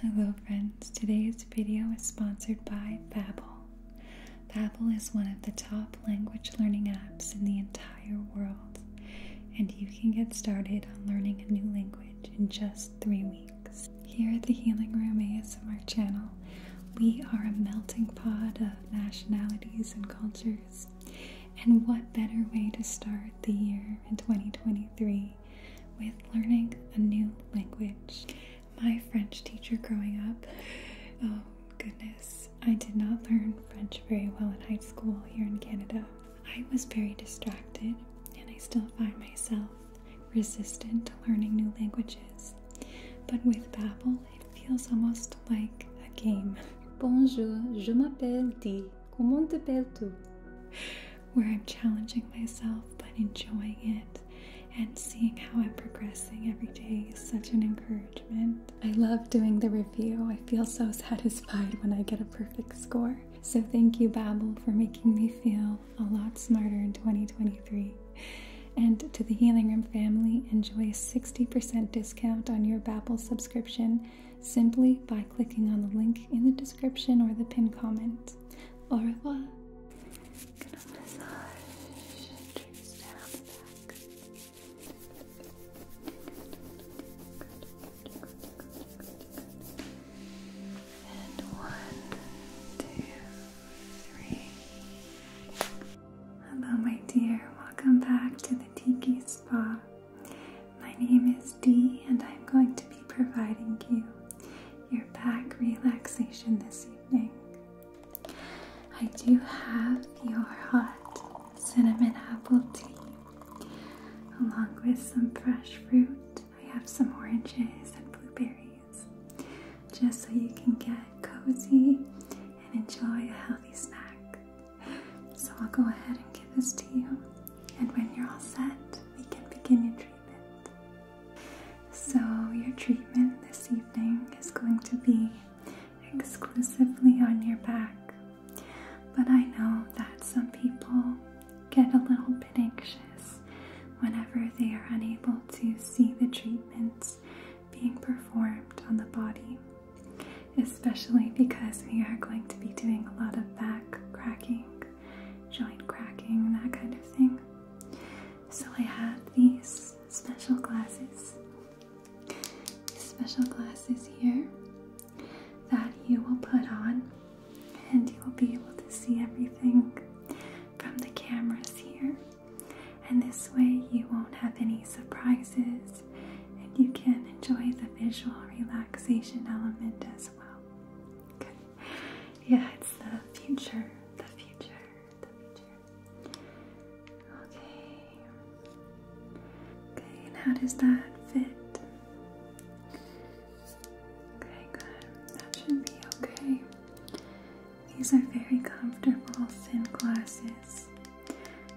Hello friends, today's video is sponsored by Babbel. Babbel is one of the top language learning apps in the entire world, and you can get started on learning a new language in just three weeks. Here at the Healing Room ASMR channel, we are a melting pot of nationalities and cultures, and what better way to start the year in 2023 with learning a new language. My French teacher growing up, oh goodness, I did not learn French very well in high school here in Canada. I was very distracted, and I still find myself resistant to learning new languages. But with Babbel, it feels almost like a game. Bonjour, je m'appelle Dee. Comment t'appelles-tu? where I'm challenging myself but enjoying it and seeing how I'm progressing every day is such an encouragement. I love doing the review. I feel so satisfied when I get a perfect score. So thank you, Babbel, for making me feel a lot smarter in 2023. And to the Healing Room family, enjoy a 60% discount on your Babbel subscription simply by clicking on the link in the description or the pinned comment. Au revoir. Gonna massage down the back. And one, two, three. Hello, my dear. Welcome back to the Tiki Spa. My name is Dee, and I'm going to be providing you your back relaxation this evening. I do have your hot cinnamon apple tea along with some fresh fruit. I have some oranges and blueberries just so you can get cozy and enjoy a healthy snack. So I'll go ahead and give this to you, and when you're all set, we can begin your treatment. So, your treatment this evening is going to be exclusively on your back. But I know that some people get a little bit anxious whenever they are unable to see the treatments being performed on the body, especially because we are going to be doing a lot of back cracking joint cracking that kind of thing. So I have these special glasses. These special glasses here that you will put on and you will be able to see everything from the cameras here. And this way you won't have any surprises and you can enjoy the visual relaxation element as well. Okay yeah, it's the future, the future, the future. Okay. Okay, how does that fit? Okay, good. That should be okay. These are very comfortable thin glasses,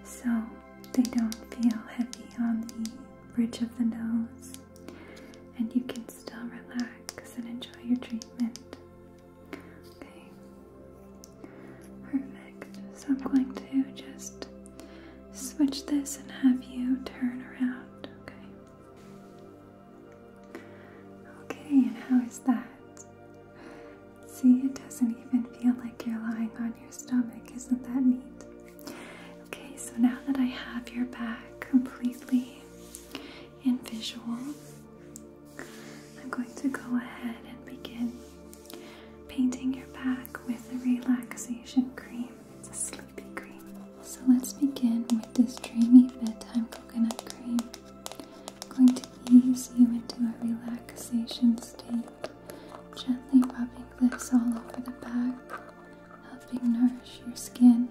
so they don't feel heavy on the bridge of the nose and you can still relax and enjoy your treatment. Okay, perfect. So I'm going to just switch this and have you turn around. Okay. Okay, and how is that? See, it doesn't even feel like you're lying on your stomach. Isn't that neat? Okay, so now that I have your back completely in visual, I'm going to go ahead and begin painting your back with the relaxation cream. It's a sleepy cream. So let's begin with this dreamy bedtime coconut cream. I'm going to ease you into a relaxation state, gently rubbing this all over the back, helping nourish your skin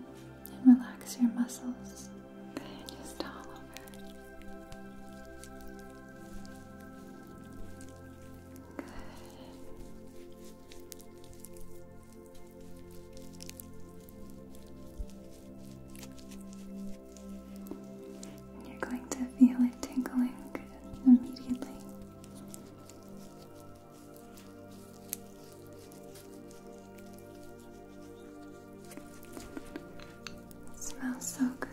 and relax your muscles just all over. Good. you're going to feel it tingling immediately. It smells so good.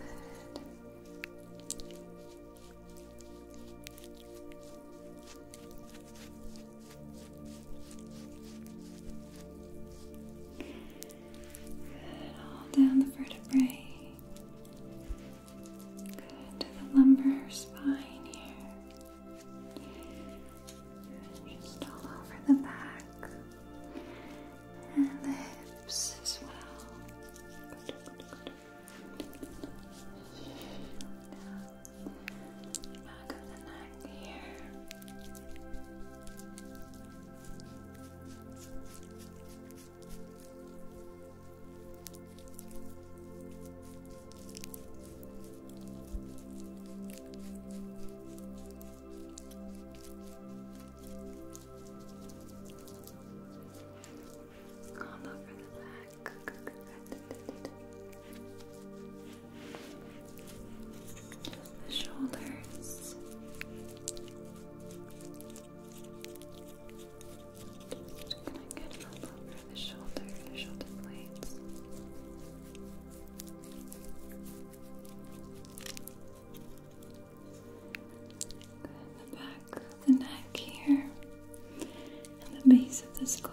Good, all down the vertebrae. Good to the lumbar spine here. Just all over the back and lips as well. Back of the neck here. All over the back. The shoulders. Just gonna get all over the shoulder, the shoulder blades. the back the neck here, and the base of the skull.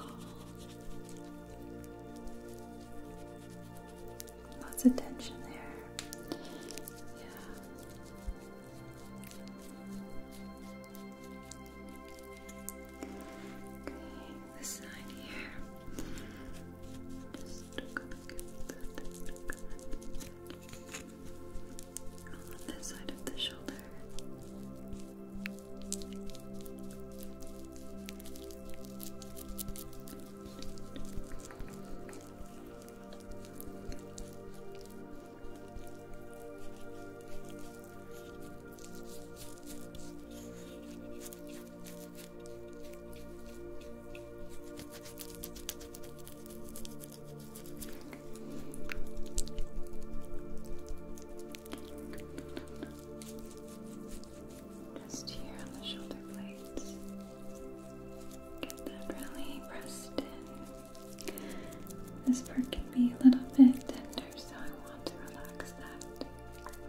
Lots of tension there. Yeah this side here. Just look at that. On this side of the shoulder. Just here on the shoulder blades. Get that really pressed in. This part can be a little bit tender, so I want to relax that. Down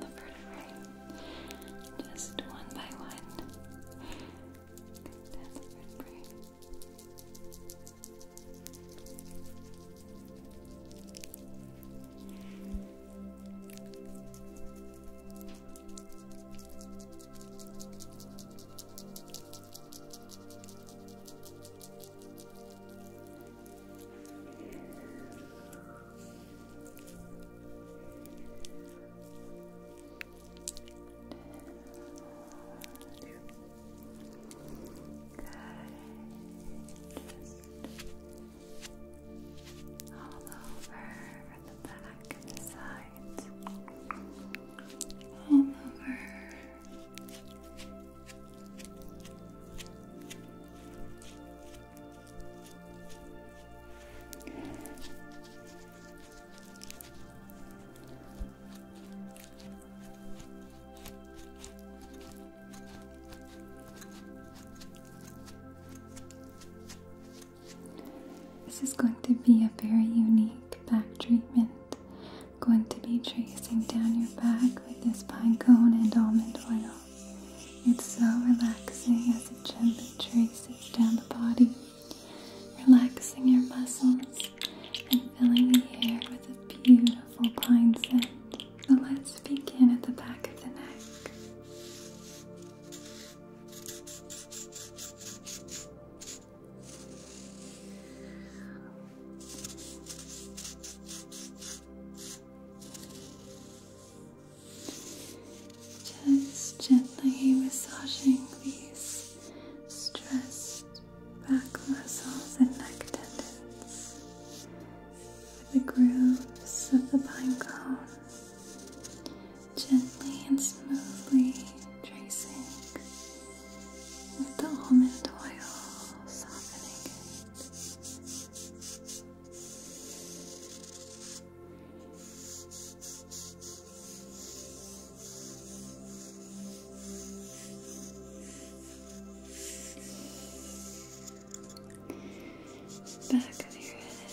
the vertebrae, just one by one. Down the vertebrae. Down Good. Just all over over the back and the sides, all over. This is going to be a very unique back treatment. going to be tracing down your back with this pine cone and almond oil. It's so relaxing as it gently traces down the body, relaxing your muscles and filling the air with a beautiful pine scent. So let's begin at the back of the neck. Just gently massaging these stressed back muscles and neck tendons with the grooves of the pine cone gently and smoothly tracing with the almond oil, softening it. Back of your head,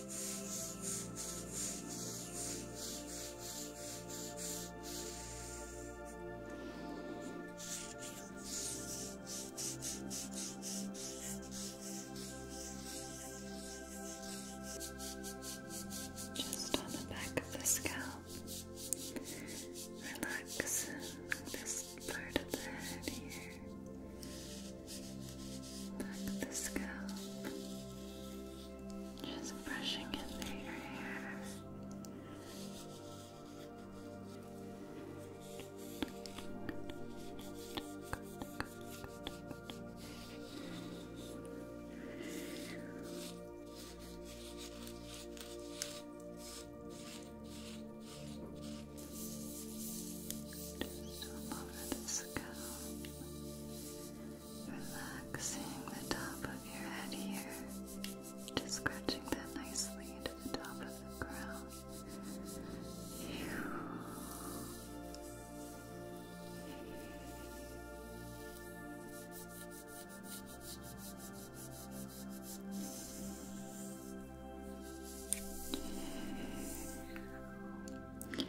Just on the back of the scalp. Relax this part of the head here. Back the scalp. Just brushing it your hair. Just over the scalp. Relaxing the top of your head here, just scratching that nicely into the top of the crown. Good, good.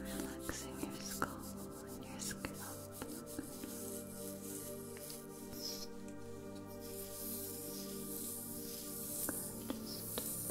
Relaxing that skull. Relaxing your skull your scalp.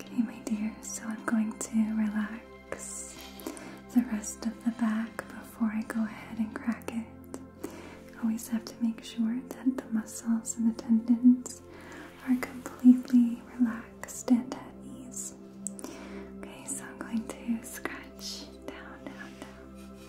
Okay, my dear, so I'm going to relax the rest of the back before I go ahead and crack it. I always have to make sure that the muscles and the tendons are completely relaxed and at ease. Okay, so I'm going to scratch down, down, down.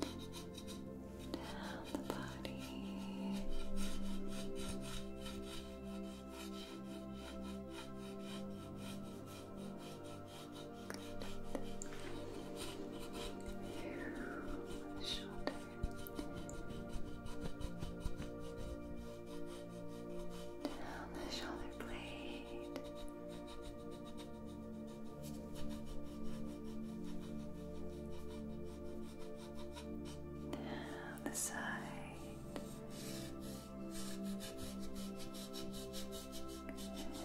down the body. Good. Shoulder. Down the shoulder blade. Down the side. Good. Just like that.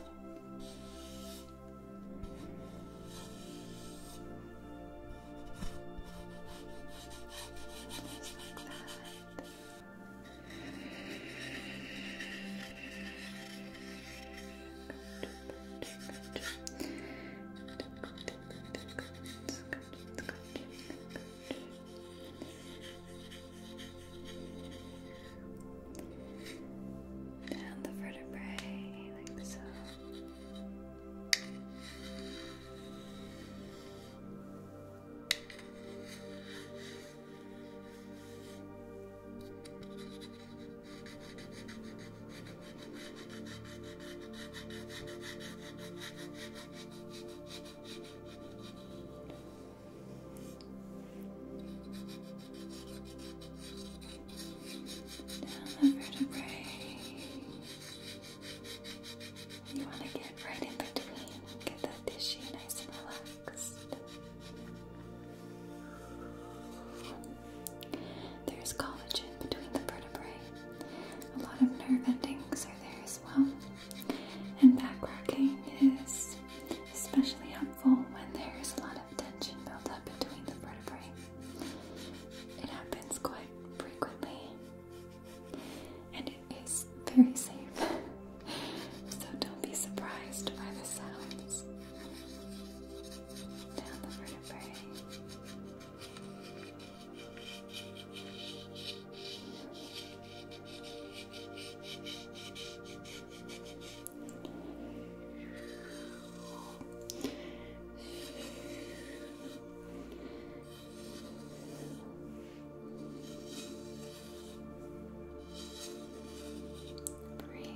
Down the vertebrae, like so. Down the vertebrae. You want to get right in between, get that tissue nice and relaxed. There is collagen between the vertebrae. A lot of nerve endings are there as well. And back rocking is especially helpful when there is a lot of tension built up between the vertebrae. It happens quite frequently and it is very safe. so don't be surprised by the sounds down the vertebrae. Breathe. Breathe.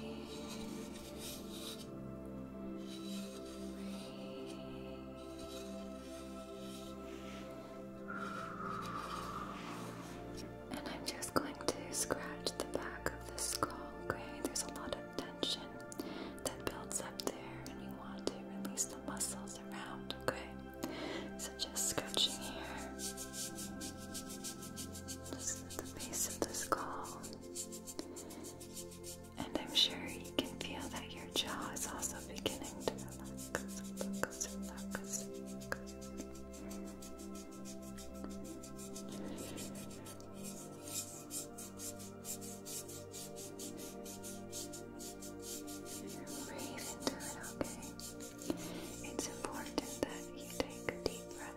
And I'm just going to scratch the back of the skull, okay? There's a lot of tension that builds up there, and we want to release the muscles around, okay? So just scratching here just at the base of the skull. And I'm sure you can feel that your jaw is also beginning to relax, focus, relax, relax. Breathe into it, okay? It's important that you take a deep breath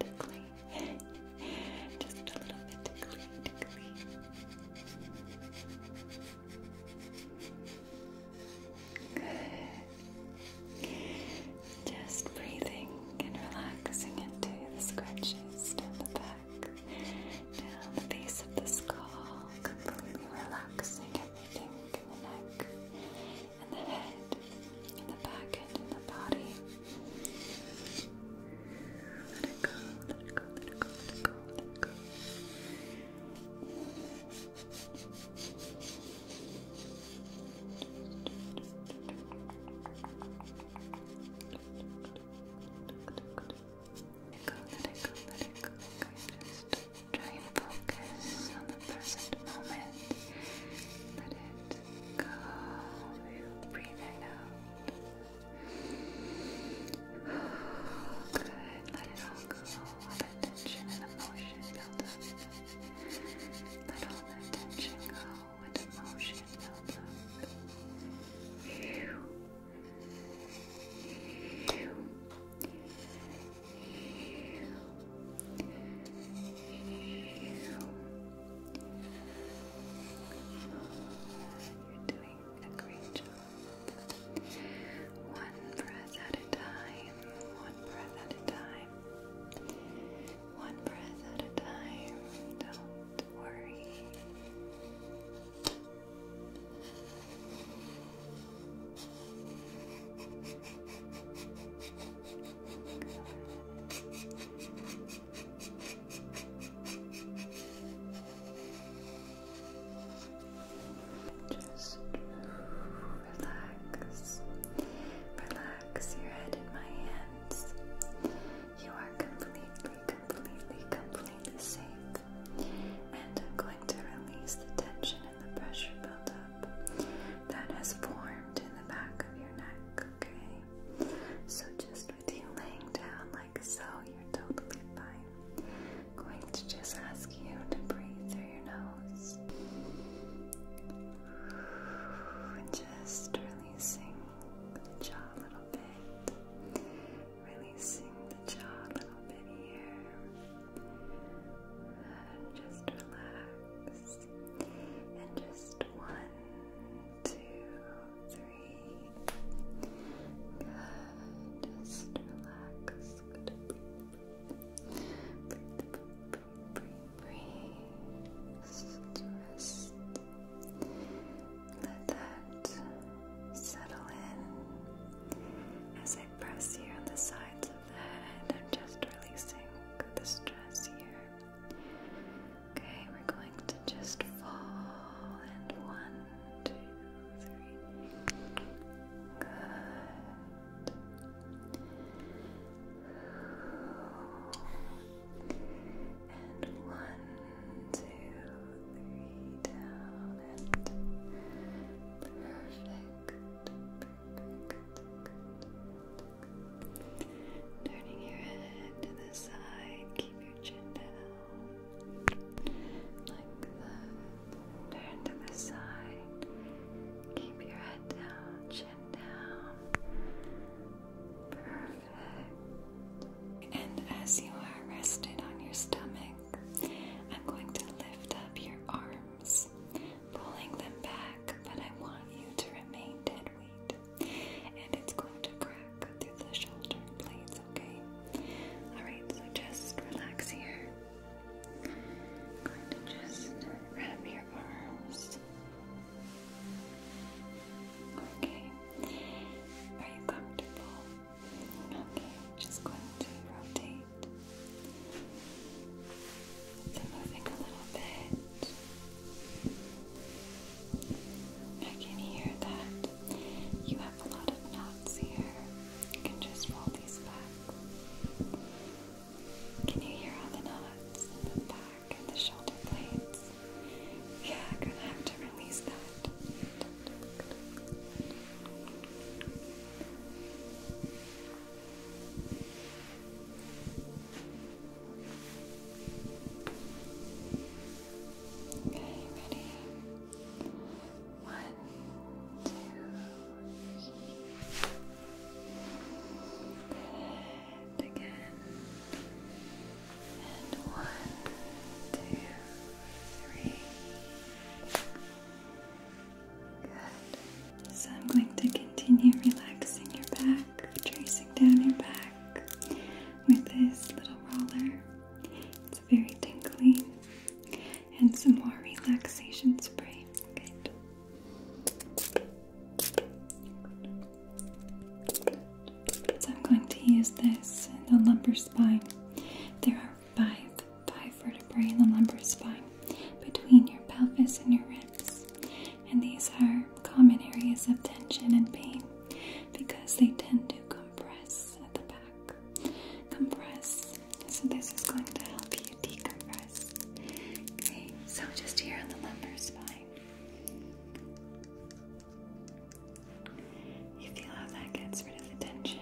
Tickly. Just a little bit tickly, tickly. Good. Just breathing and relaxing into the scratches down the back, down the base of the skull, completely relaxing everything and the neck, and the head, and the back end, and the body. Let it go, let it go, let it go, let it go, let it go. Let it go, let it go, Try and focus on the present moment. Let it go. Breathe it out. Good. Let it all go. All that tension and emotion build up. Let all that tension go and emotion build up. Phew. Phew. You're doing a great job. One breath at a time. One breath at a time. One breath at a time. Don't worry. Just relax. Relax your head in my hands. You are completely, completely, completely safe. And I'm going to release the tension and the pressure up that has formed in the back of your neck, okay? So just with you laying down like so, you're totally fine. going to just ask you to breathe through your nose. And just releasing the jaw a little bit. Releasing the jaw a little bit here. Just relax. And just one, two, three. Good. Just relax. Breathe, breathe, breathe. rest. Let that settle in as I press here on the sides of the head. I'm just releasing the stress here. Okay, we're going to just fall and one, two, three. Good. And one, two, three, down and perfect. Turning your head to the side, keep your chin down. Like that. Turn to the side. Keep your head down, chin down. Perfect. And as you are rested on your stomach, I'm going to lift up your arm pulling them back, but I want you to remain dead weight. And it's going to crack through the shoulder blades, okay? Alright, so just relax here. going to just wrap your arms. Okay. Are you comfortable? Okay, just going to rotate so moving a little bit. I can hear that you have a lot of knots here. You can just roll these back. Can you hear all the knots in the back and the shoulder blades? Yeah, I'm gonna have to release that. Okay, ready? One, two, again, and one, two, three. So I'm going to continue relaxing your back, tracing down your back with this little roller. It's very tingling, And some more relaxation spray. So I'm going to use this in the lumbar spine. There are five, five vertebrae in the lumbar spine between your pelvis and your ribs. And these are common areas of tension and pain because they tend to compress at the back. Compress. So this is going to help you decompress. Okay, so just here on the lumbar spine. You feel how that gets rid of the tension.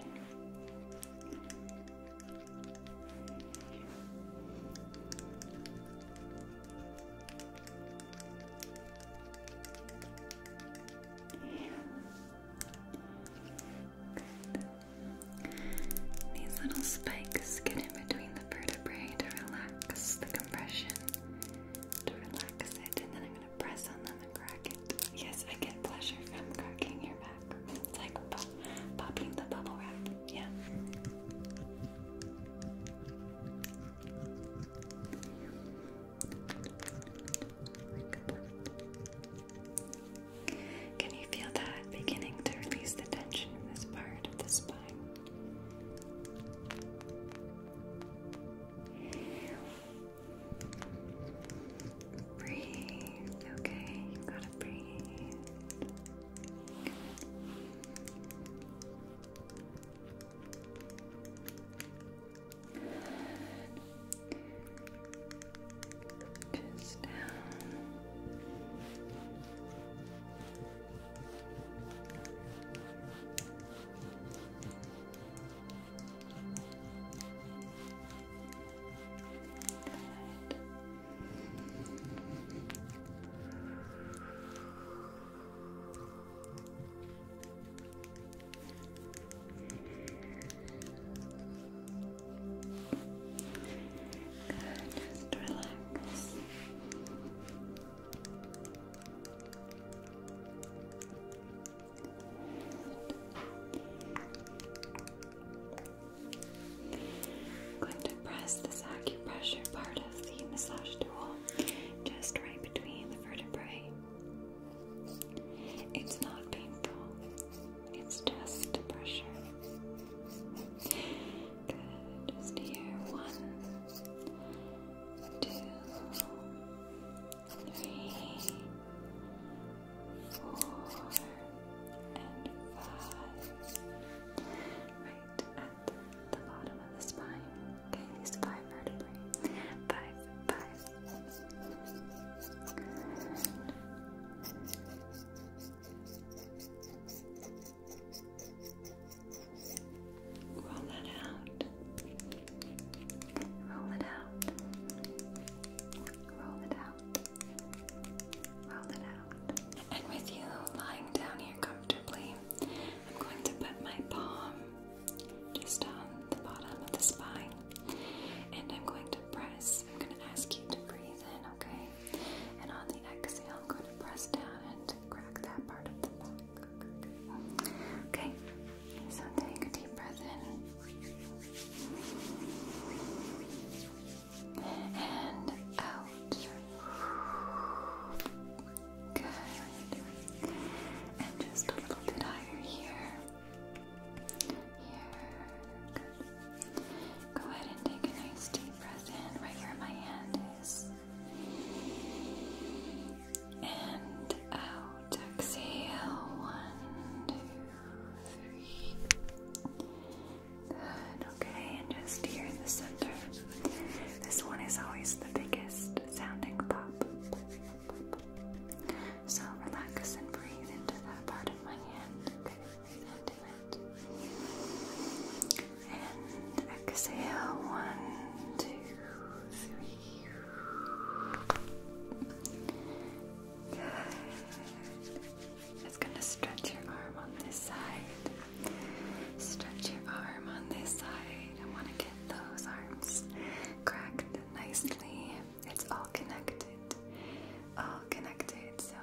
These little spikes get in between the vertebrae to relax the compression, to relax it, and then I'm going to press on them and crack it. Yes, I get pleasure from cracking your back. It's like popping the bubble wrap. Yeah. Can you feel that beginning to release the tension in this part of the spine? Breathe, okay? You gotta breathe. Just down. Good. Good, just relax. Good. I'm going to press this acupressure part of the massage tool just right between the vertebrae. It's not painful, it's just pressure. Good, just here. One, two, three four, and five. Right at the bottom of the spine. Okay, these five vertebrae. Five, five. Roll that out. Roll it out. Roll it out. And with you lying down here comfortably, I'm going to put my palm just on the bottom of the spine and I'm going to press. I'm going to ask you to breathe in, okay? And on the exhale, I'm going to press down and crack that part of the back. Okay? So take a deep breath in and out. Good. And just a little bit higher here. Here. Good. Go ahead and take a nice deep breath in right where my hand And out. Exhale. One, two, okay, and just here in the center. This one is always the biggest sounding pop. So relax and breathe into that part of my hand. Okay, breathe into it. And exhale, one, two, three. It's gonna stretch your arm on this side. Stretch your arm on this side. I wanna get those arms cracked nicely. It's all connected. All connected. So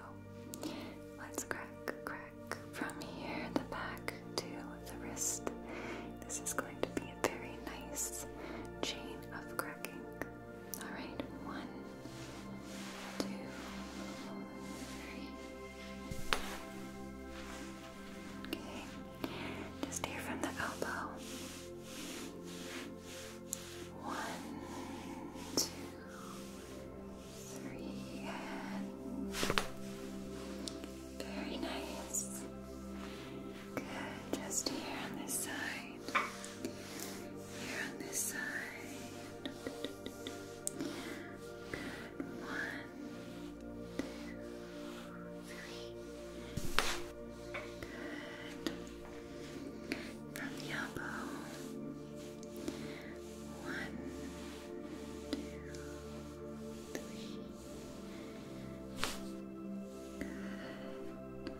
let's crack, crack from here, the back to the wrist. This is going to be a very nice chain of cracking. Alright, one, two, three. Okay, just here from the elbow. One, two, three, very nice. Good, just here on this side side. Here on this side. Good. One, two, three. Good. From the elbow. One, two, three.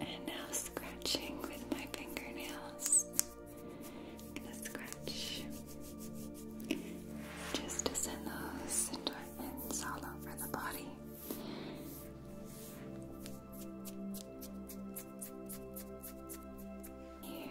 And now scratching with my fingernails. gonna scratch just to send those endorphins all over the body. Here.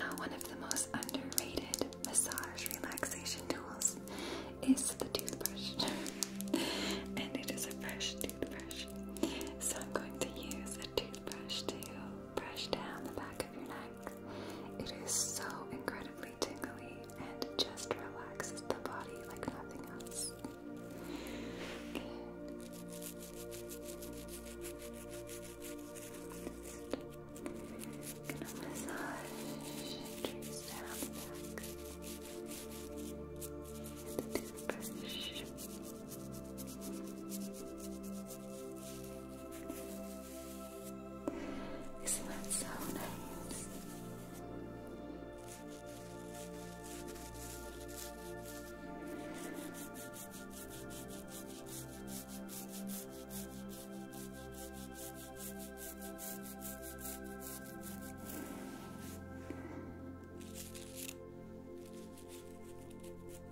Now, one of the most underrated massage relaxation tools is the toothbrush, and it is a fresh toothbrush. So, I'm going to use a toothbrush brush to brush down the back of your neck. It is so incredibly tingly and just relaxes the body like nothing else. Gonna massage down the back. With the toothbrush. Isn't that so nice?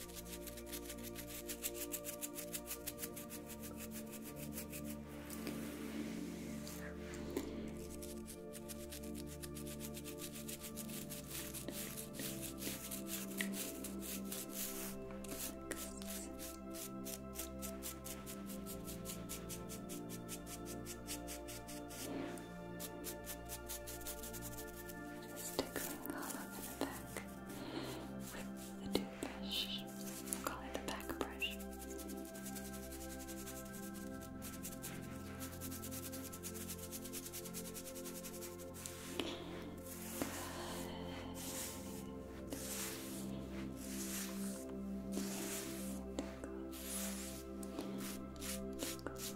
Just tickling all over the back with the toothbrush. call it the back brush. Good. Tickles.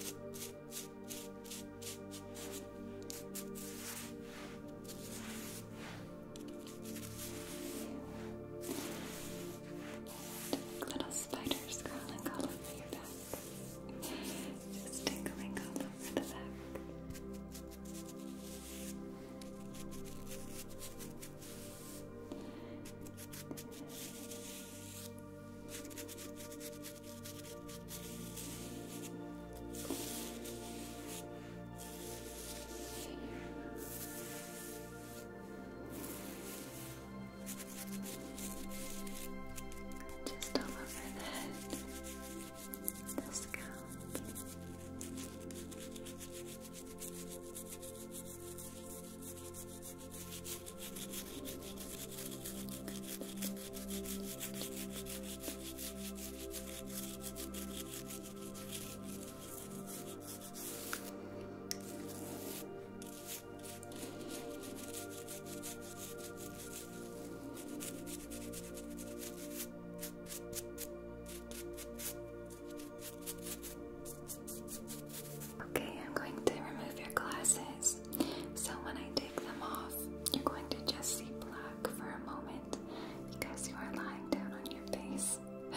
Tickles. Little spiders crawling all over your back. Just tickling all over the back. Good. Just all over the head, the scalp. Good. Okay, I'm going to remove your glasses. So when I take them off, you're going to just see black for a moment because you are lying down on your face.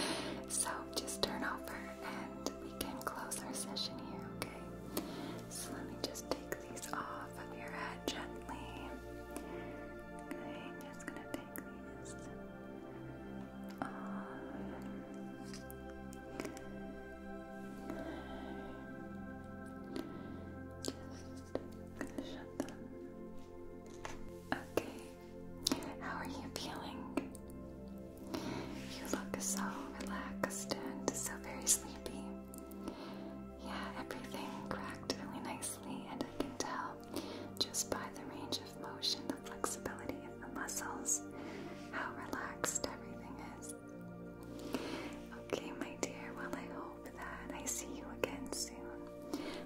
So just turn over and we can close our session here, okay? So let me just take these off of your head gently. I'm just gonna take these. Okay. How are you feeling? You look so relaxed and so very sleepy. Yeah, everything cracked really nicely, and I can tell just by the range of motion, the flexibility of the muscles, how relaxed everything is. Okay, my dear, well, I hope that I see you again soon.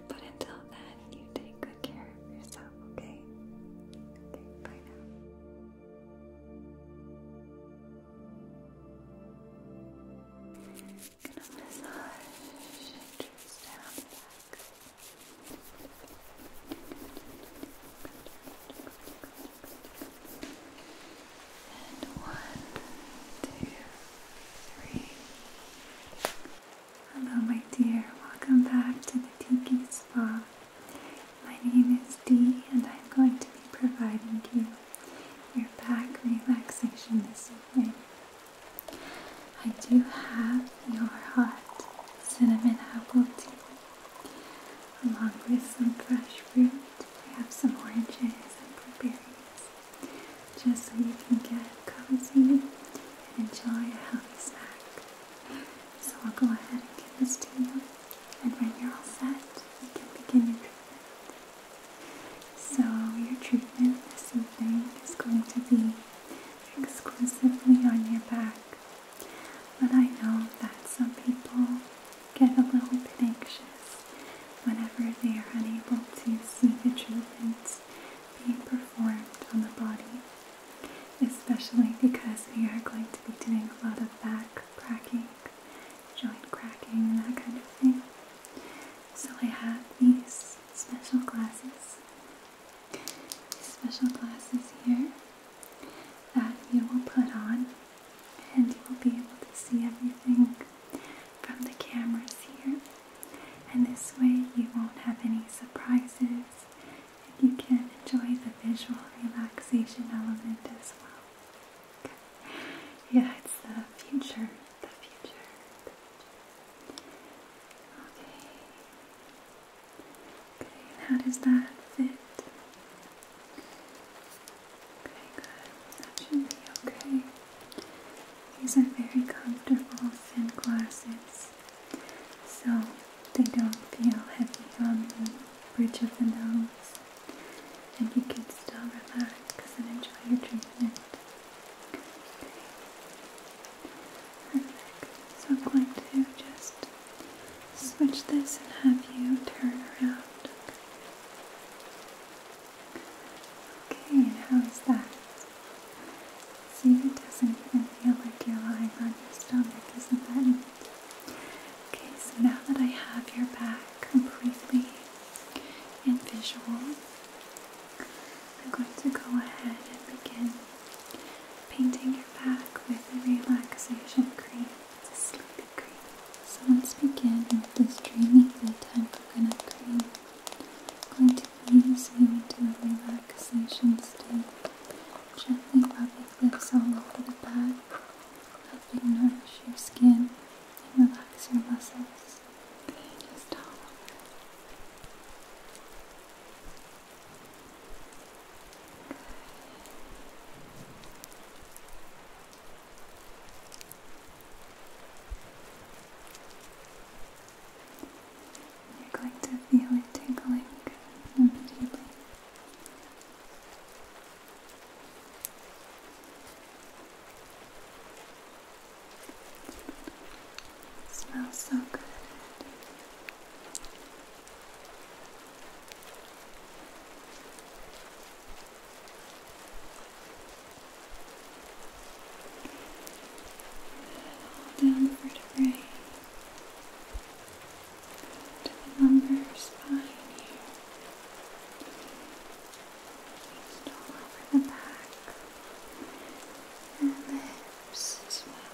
But until then, you take good care of yourself, okay? Okay, bye now. And one, two, three. Hello, my dear. Welcome back to the Tiki Spa. My name is Dee, and I'm going to be providing you your back relaxation this evening. I do have your hot cinnamon apple tea along with some fresh fruit we have some oranges and blueberries just so you can get cozy and enjoy a healthy snack. So I'll go ahead and give this to you and when you're all set, you can begin your treatment. So your treatment this evening is going to be exclusively on your back. But I know that some people get a little bit anxious whenever they are unable to see the treatments being performed on the body, especially because we are going to be doing a lot of back cracking, joint cracking, and that kind of thing. So I have these special glasses, special glasses here that you will put on and you will be able to see everything from the cameras here. And this way, you won't have any surprises, and you can enjoy the visual relaxation element as well. Yeah, it's the future, the future, the future. Okay. Okay, how does that fit? Okay, good. That should be okay. These are very comfortable thin glasses, so they don't feel heavy on the bridge of the nose, and you can still relax and enjoy your treatment. Okay. Perfect. So I'm going to just switch this and have you turn around. Okay, and how is that? See, it doesn't even feel like you're lying on your stomach, isn't that Okay, so now that I have your back completely in visual, I'm going to go ahead and begin painting your back with the relaxation cream. So let's begin with this dreamy bedtime coconut cream. i going to ease you into a relaxation state, gently rubbing this all over the back, helping nourish your skin and relax your muscles. Just all you're going to feel it tingling smells so good down the vertebrae to the lumbar spine here. Just all over the back and the hips as well.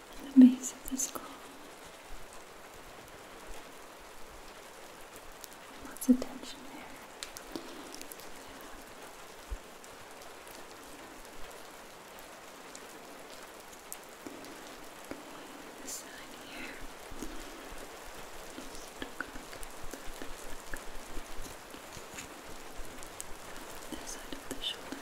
the base of the skull. Lots of tension there. Okay, this side here. This side of the shoulder. Okay.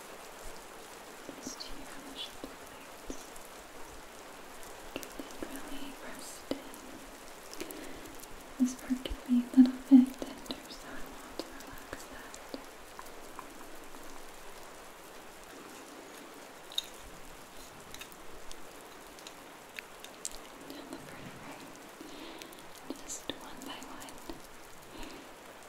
These two finished plates. Get that really pressed This part can be a little bit tender, so I want to relax that. And the vertebrae, just one by one.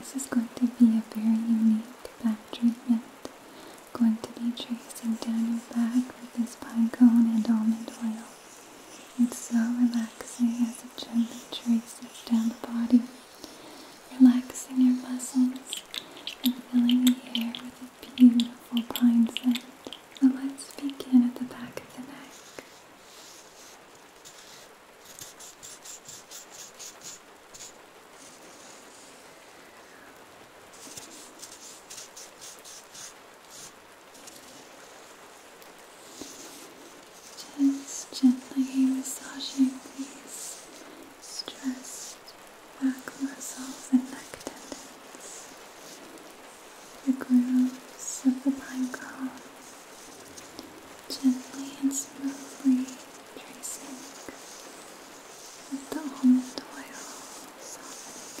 This is going to be a very unique back treatment. Going to be tracing down your back with this pine cone and almond oil. It's so relaxing as it gently traces down the body relaxing your muscles and filling the air with a beautiful pine scent. So let's begin at the back of the neck. Just gently massaging these stressed back muscles and neck tendons, the grooves of the pine cone, gently and smoothly tracing with the almond oil, softening it.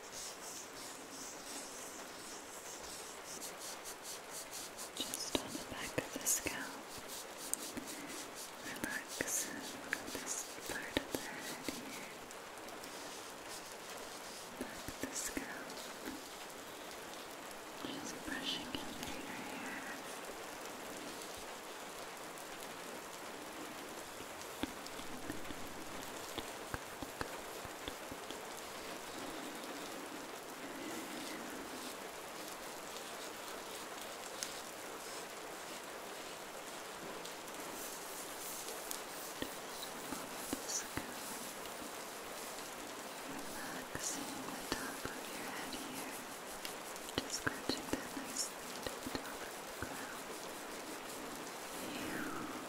Just on the back of the scalp. Relax this part of the head here. Back the scalp. Just brushing through your hair. Just Relaxing the top of your head here. Just scratching that nicely to the top of the crown. You. Relaxing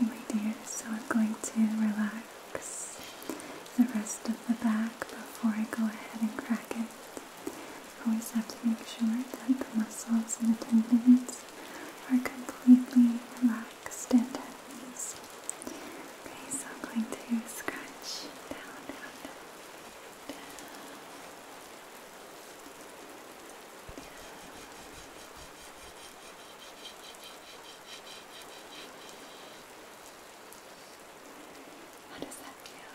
Okay, my dear, so I'm going to relax the rest of the back before I go ahead and crack it. Always have to make sure that the muscles and the tendons are completely relaxed and at ease. Okay, so I'm going to scratch down, down, down. How does that feel?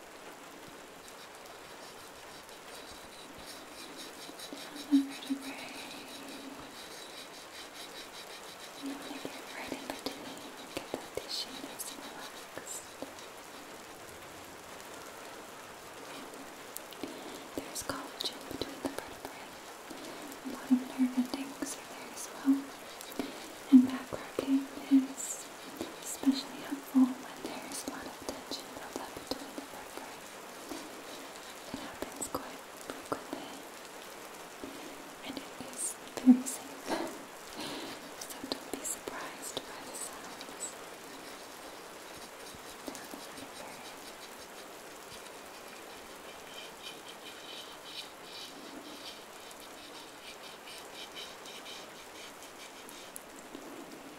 the gray. I'm gonna get There's collagen between the vertebrae. A lot of nerve endings are there as well. And back rocking is especially helpful when there is a lot of tension built up between the worker. It happens quite frequently and it is very so don't be surprised by the sounds.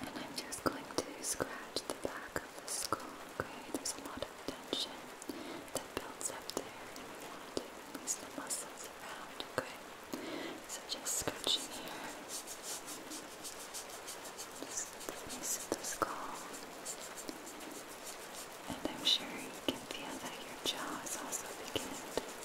And I'm just going to scratch the back of the skull, okay? There's a lot of tension that builds up there, and we want to release the muscles around, okay? So just scratching here. Just the base of the skull. And I'm sure you can feel that your jaw is also beginning to relax,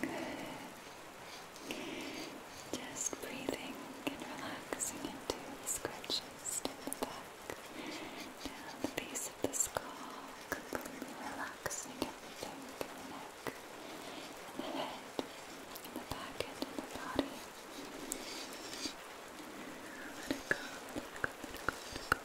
Good. Just breathing and relaxing into the scratches in the back, down the base of the skull, completely relaxing everything in the neck, in the head, in the back end, in the body. Let it go, let it go, let it go, let it go.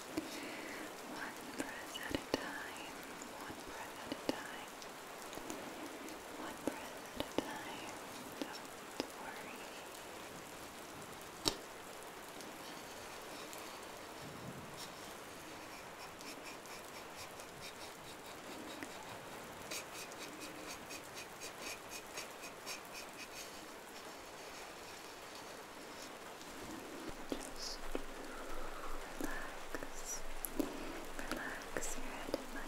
One breath at a time, one breath at a time, one breath at a time. Don't worry. Just relax. Relax your head in my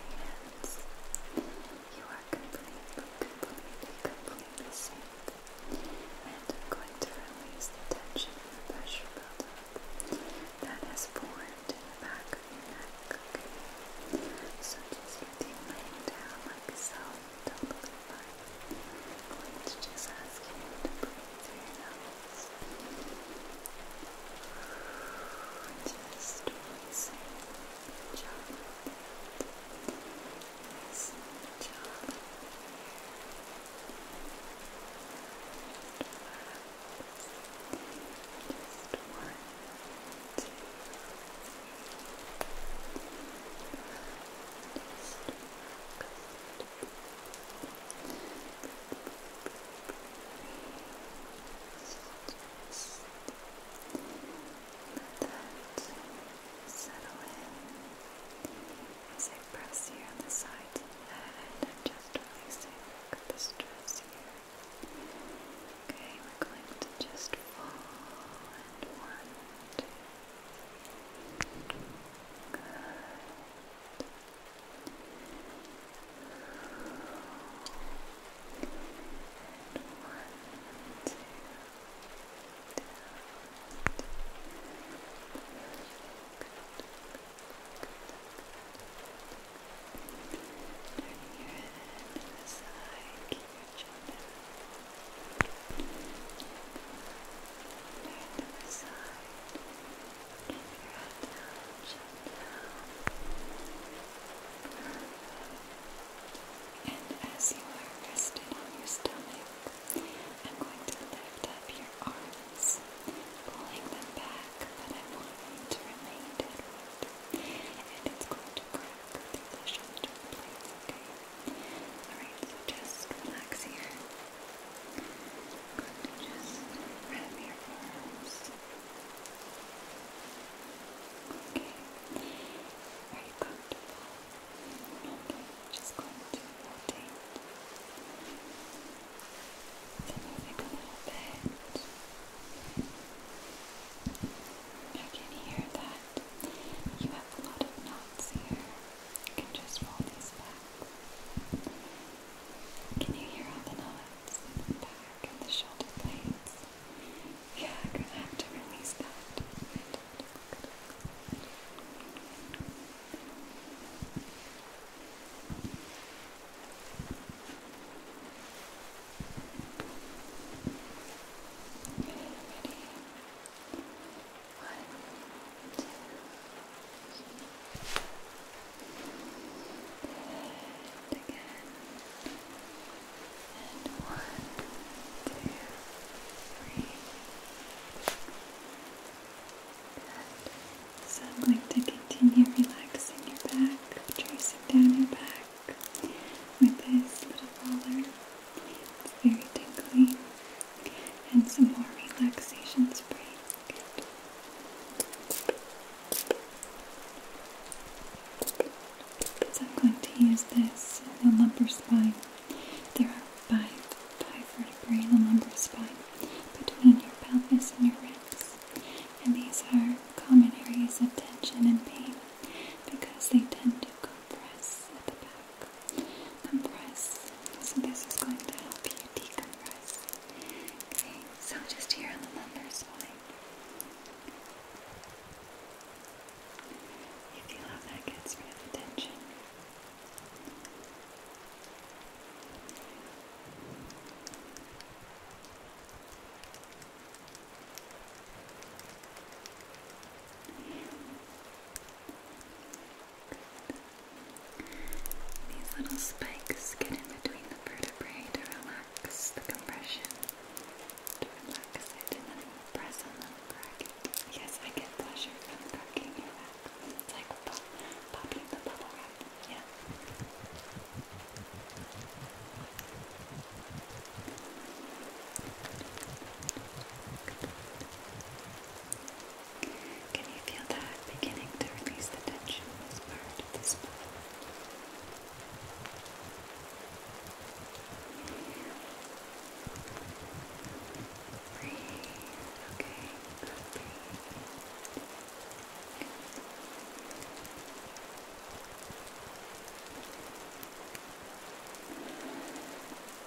You are completely, completely, completely safe. And I'm going to release the tension and the pressure buildup that has formed in the back of your neck, So just let you laying down like so, totally fine. I'm to just ask you to breathe through your nose and just releasing the jaw releasing the jaw and just one, two, three just relax just let that settle in as I press here on the side of just releasing the stress here. Okay, we're going to just fall and Turn the side down. And as you are resting on your stomach, I'm going to lift up your arms, pulling them back, but I am wanting to remain downward. And it's going to crack through the shoulder okay? Alright, so just relax here. Good, just wrap your arms. Okay, are you comfortable? just going to rotate. So moving a little bit. I can hear that you have a lot of knots here. You can just roll these back. Can you hear all the knots in the back and the shoulder blades? Yeah, gonna have to release that and again, and one, two, three. So I'm going to continue relaxing your back, tracing down your back with this little roller. It's very tingly and some more relaxation spray. Good. I'm going to use this in the lumbar spine. There are five, five vertebrae in the lumbar spine between your pelvis and your ribs. And these are common areas of tension and pain because they tend to compress at the back compress. So this is going to help you decompress. Okay, so just here on the lumbar You feel how that gets rid of the tension. These little spikes get in between the vertebrae to relax the compression. To relax it and then press on them, crack Yes, I get pleasure from cracking your back. It's like popping the bubble wrap. Yeah. Can you feel that beginning to release the tension in this part of the Breathe, okay, good,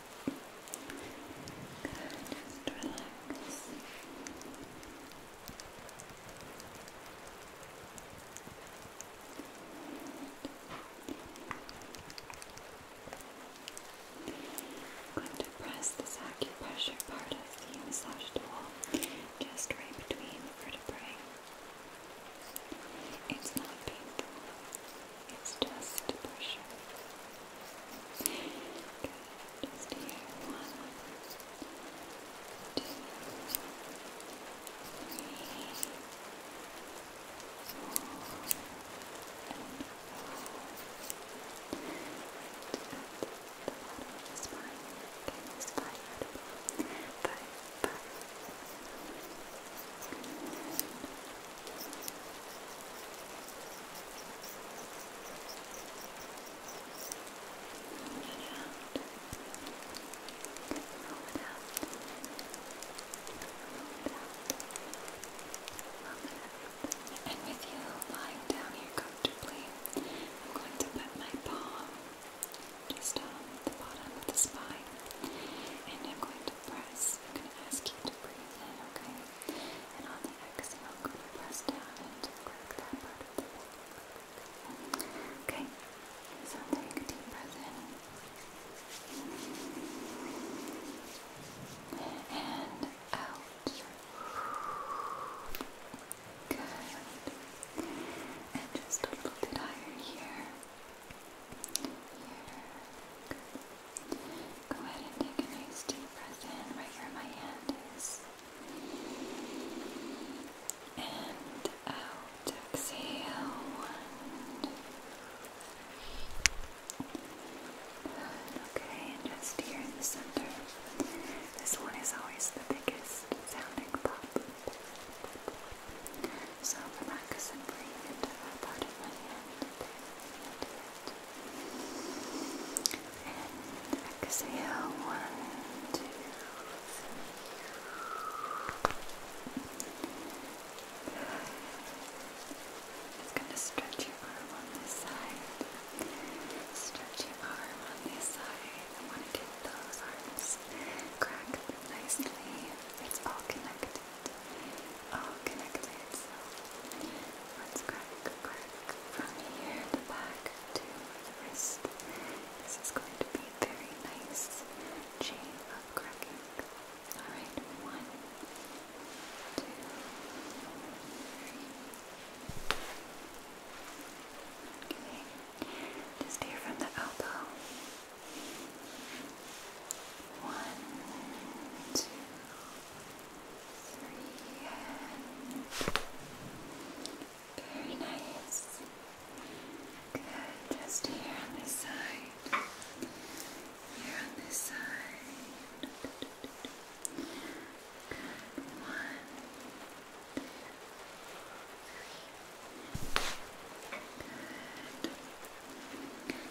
Good, just relax. going to press this acupressure part of the massage tool just right between the vertebrae. It's not painful. It's just pressure. Good. Just here. One, two, three, four, and the bottom of the spine. Okay, it's five, five, five, and with you lying down here comfortably, I'm going to put my palm just on the bottom of the spine, and I'm going to press. I'm going to ask you to breathe okay? And on the exhale, I'm down and crack that part Okay, take a deep breath in. And out. Good. And just a little bit higher here. Go ahead and take a nice deep breath in right where my hand is. And out. Exhale. Okay, and just here in the center. This one is always the biggest sounding pop. So relax and breathe into that part hand. And exhale one, two, three. Just gonna stretch your arm on this side. Stretch your arm on this side. I want to get those arms cracked nicely. It's all connected. Oh, all connected. let's crack, crack from here, the back to the wrist. This is going to be a very nice chain of cracking. Alright, one, two, three. Okay, just here from the elbow. One, two, three, and very nice. Good, just here on this side. Here on this side. Good. One, two, three. Good.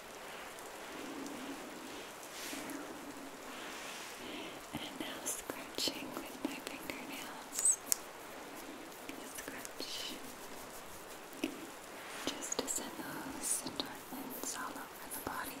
And now scratching with my fingernails. Scratch. Just to send those endorphins all over the body.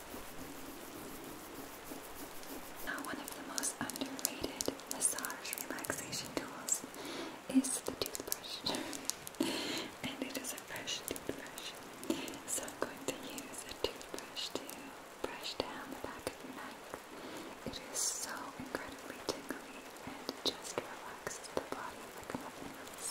Now, one of the most underrated massage relaxation tools is the toothbrush. and it is a fresh toothbrush. So I'm going to use a toothbrush to brush down the back of your neck. It is so incredibly tingling and just relaxes the body like nothing else.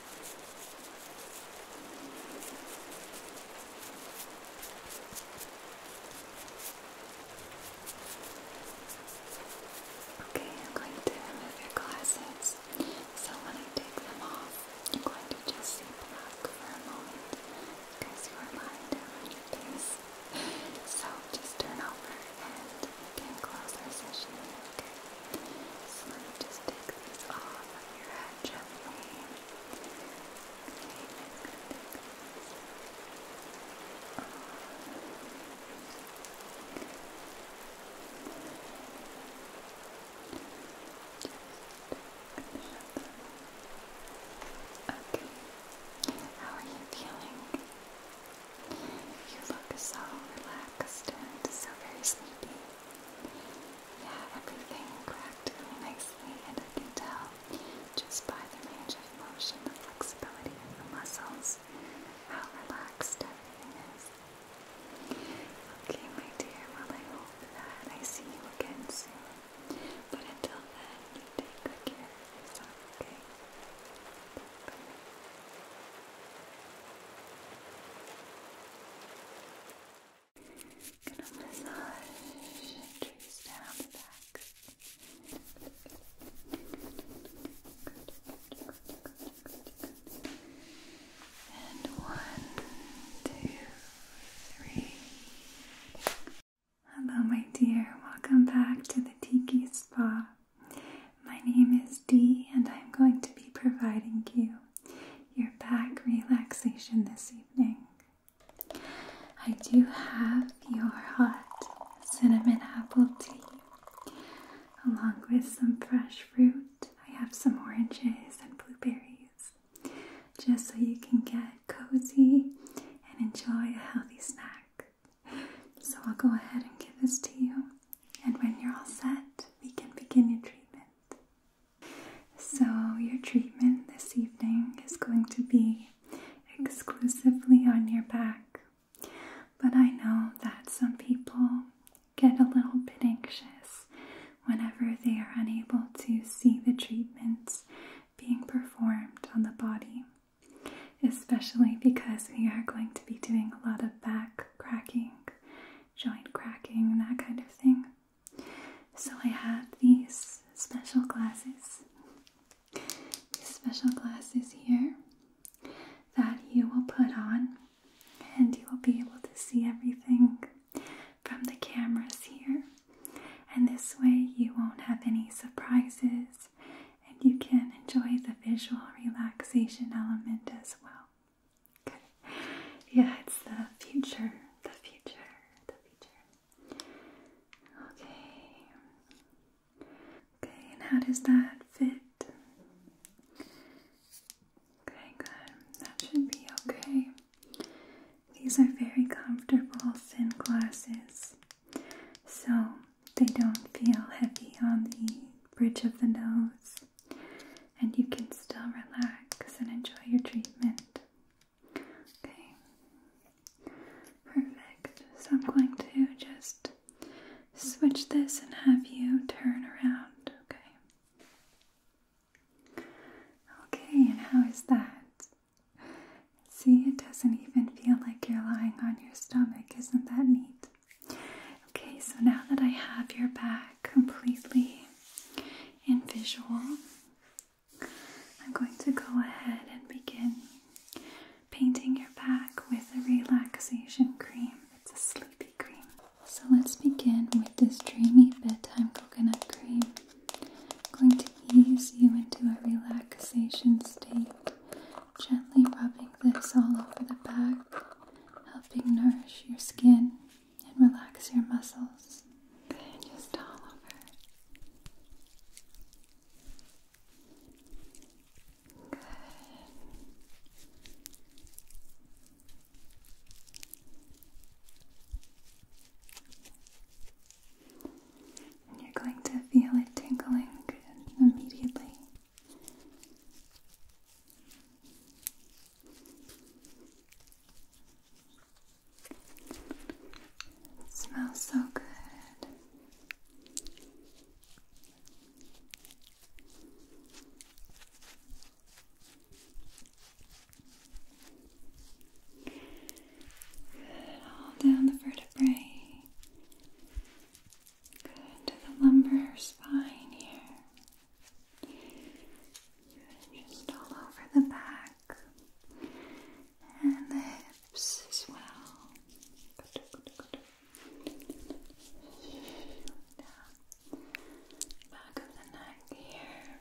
Okay, I'm going to remove your glasses. So when I take them off, I'm going to just see black for a moment because you are lying down your face. So just turn over and we can close our session. Okay. So just take these off on Okay. How are you feeling? You look so relaxed and so very sleepy yeah, everything cracked really nicely, and I can tell just by the range of motion, the flexibility of the muscles, how relaxed everything is. Okay, my dear, well, I hope that I see you again soon. But until then, you take good care okay? Hello, my dear. Welcome back to the Tiki Spa. My name is Dee, and I'm going to be providing you your back relaxation this evening. I do have your hot cinnamon apple tea along with some fresh fruit. I have some oranges and blueberries just so you can get cozy and enjoy a healthy snack. So I'll go ahead and give this to you, and when you're all set, we can begin your treatment. So, your treatment this evening is going to be exclusively on your back. But I know that some people get a little bit anxious whenever they are unable to see the treatments being performed on the body, especially because we are going to be doing a lot of back cracking joint cracking that kind of thing. So I have these special glasses. These special glasses here that you will put on and you will be able to see everything from the cameras here. And this way you won't have any surprises and you can enjoy the visual relaxation element as well. Good. Yeah, it's the future. The future. The future. Okay. Okay, and how does that fit? Okay, good. That should be okay. These are very comfortable thin glasses, so they don't feel heavy on the bridge of the nose and you can still relax and enjoy your treatment. Okay, perfect. So I'm going to just switch this and have you turn around, okay? Okay, and how is that? See, it doesn't even feel like you're lying on your stomach. Isn't that neat? Okay, so now that I have your back, completely and visual, I'm going to go ahead and begin painting your back with a relaxation cream. It's a sleepy cream. So let's begin with this dreamy bedtime coconut cream. going to ease you into a relaxation state, gently rubbing this all over the back, helping nourish your skin and relax your muscles. And just all over. Good. And you're going to feel it tingling immediately smells so good. Good, all down the vertebrae. Good to the lumbar spine here just all over the back and the hips as well. Back of the neck here.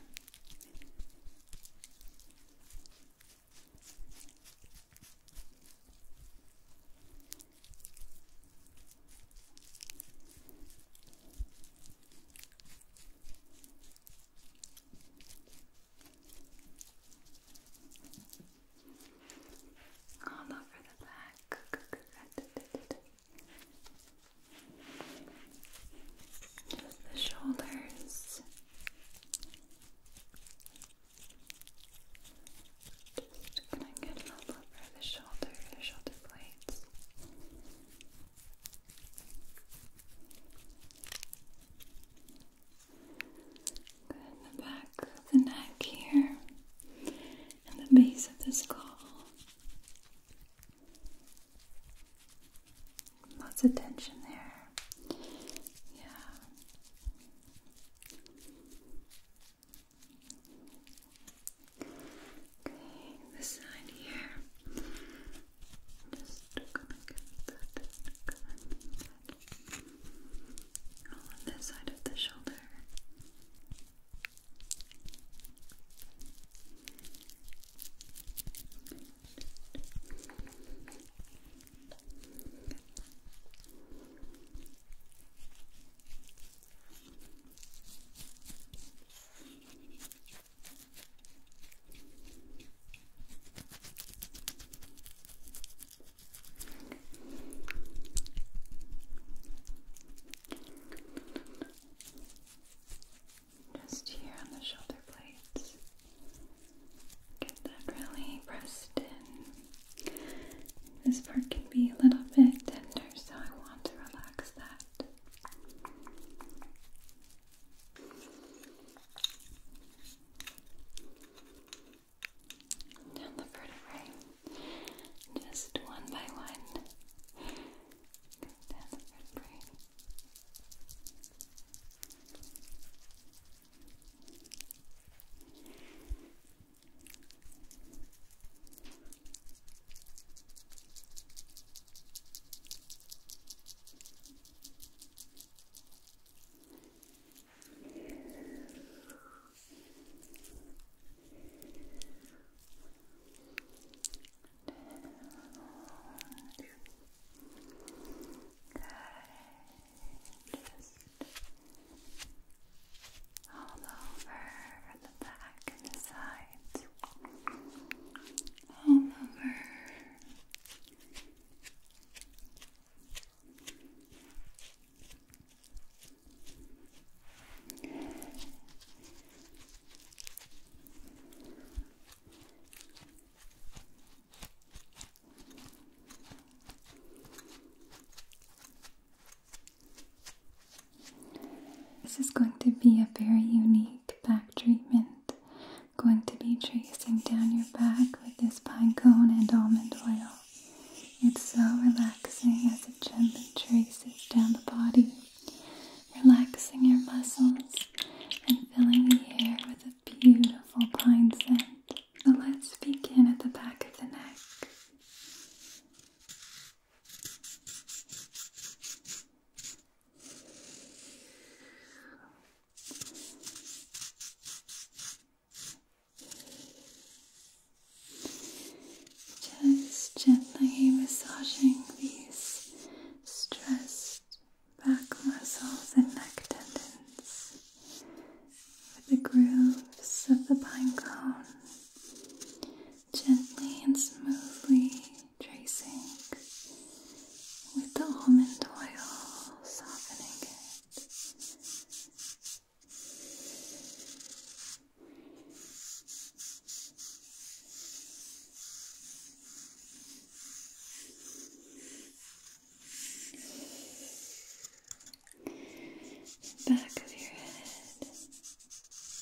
All over the back. Just the shoulders. Just gonna get all over the shoulder, the shoulder blades the back of the neck here, and the base of the skull. Lots of tension there. Yeah. Okay, this side here. Just gonna get All on this side of the shoulder. Just here on the shoulder blades. Get that really pressed in. This part can be a little bit tender, so I want to relax that. Down the vertebrae, just one by one. Go down the vertebrae. Just all over the back and the sides, all over. This is going to be a very unique back treatment. Going to be tracing down your back with this pine cone and almond oil. It's so relaxing as it gently traces down the body, relaxing your muscles and filling the air with a beautiful pine scent. So let's begin at the back of the neck. Just gently massaging these stressed back muscles and neck tendons with the grooves of the pine cone. Gently and smoothly tracing with the almond oil, softening it. Back of your head,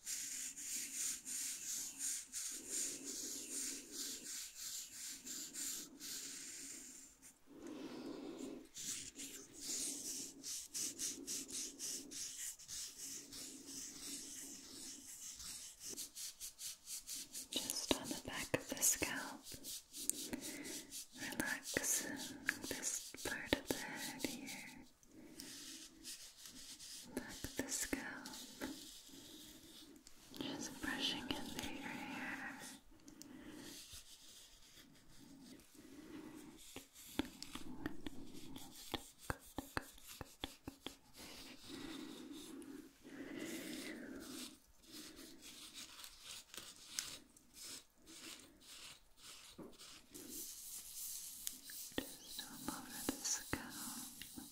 Just on the back of the scalp, relax this part of the head here back of the scalp, just brushing into your hair. Just over the scalp.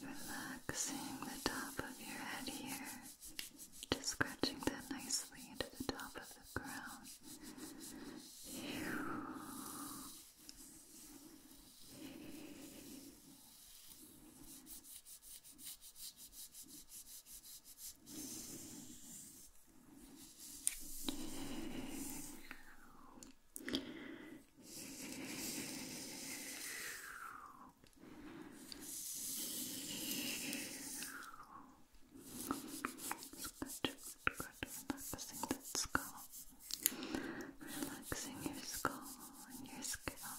Relaxing the top of your head here, just scratching that nicely into the top of the crown. Good, good. Relaxing Relaxing your skull your scalp.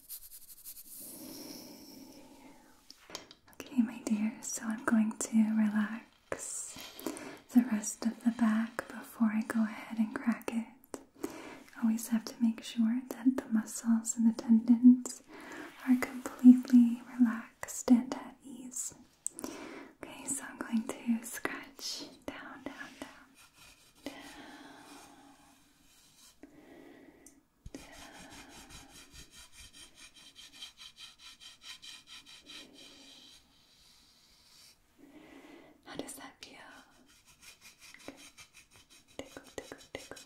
Okay, my dear, so I'm going to relax the rest of the back before I go ahead and crack it. Always have to make sure that the muscles and the tendons are completely relaxed and at ease. Okay, so I'm going to scratch down, down, down, down. How does that feel? Tickle, tickle, tickle.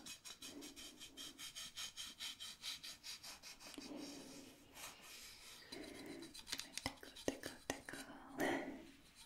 Tickle, tickle, tickle.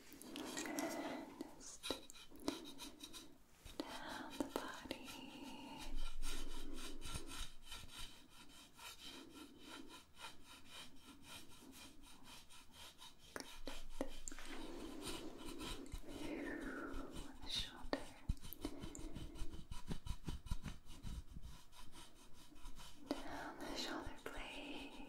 Just down the body. Good. the shoulder. Down the shoulder blade.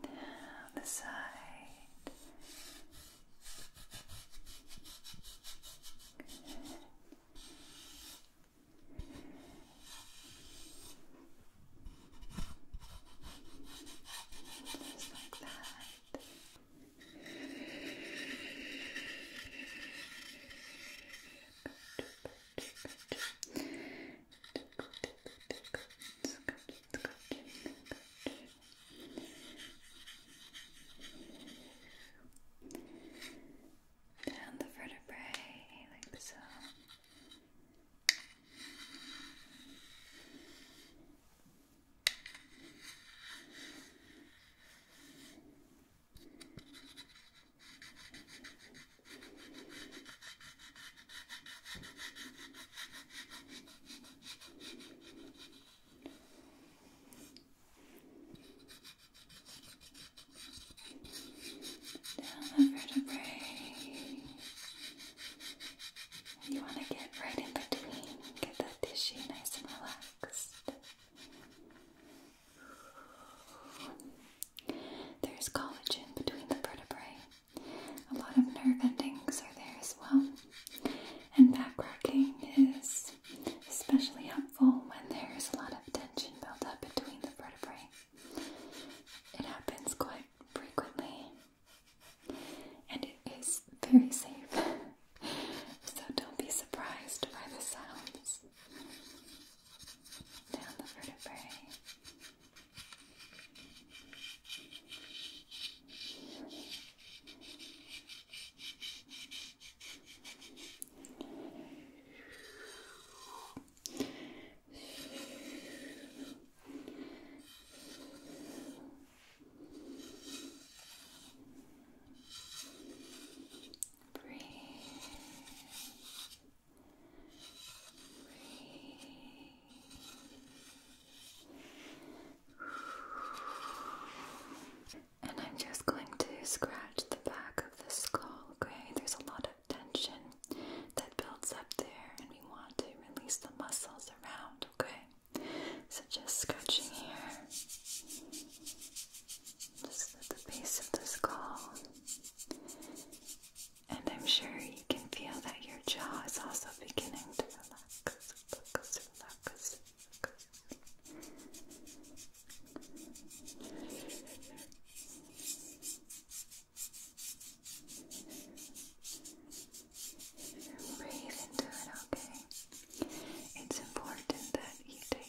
Down the side. Good. Just like that. Good. Down the vertebrae, like so. Good. Down the vertebrae. You want to get right in between, get that tissue nice and relaxed. There's collagen between the vertebrae. A lot of nerve endings are there as well. And back cracking is especially helpful when there's a lot of tension built up between the vertebrae. It happens quite frequently and it is very safe. so don't be surprised by the sounds down the vertebrae. Breathe. Breathe. And I'm just going to scratch the back of the skull, okay? There's a lot of tension that builds up there, and we want to release the muscles around, okay? So just scratching here just at the base of the skull. And I'm sure you can feel that your jaw is also beginning to relax, Breathe into it, okay? It's important that you take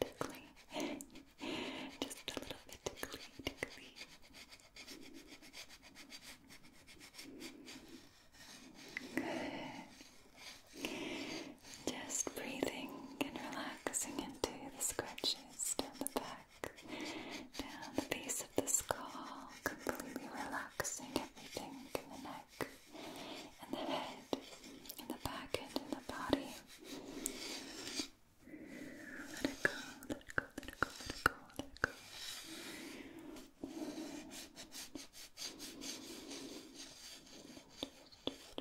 Tickly. Just a little bit tickly, Just breathing and relaxing into the scratches down the back, down the base of the skull, completely relaxing everything in the neck and the head, and the back end, and the body. let it go, let it go, let it go, let it go. Let it go,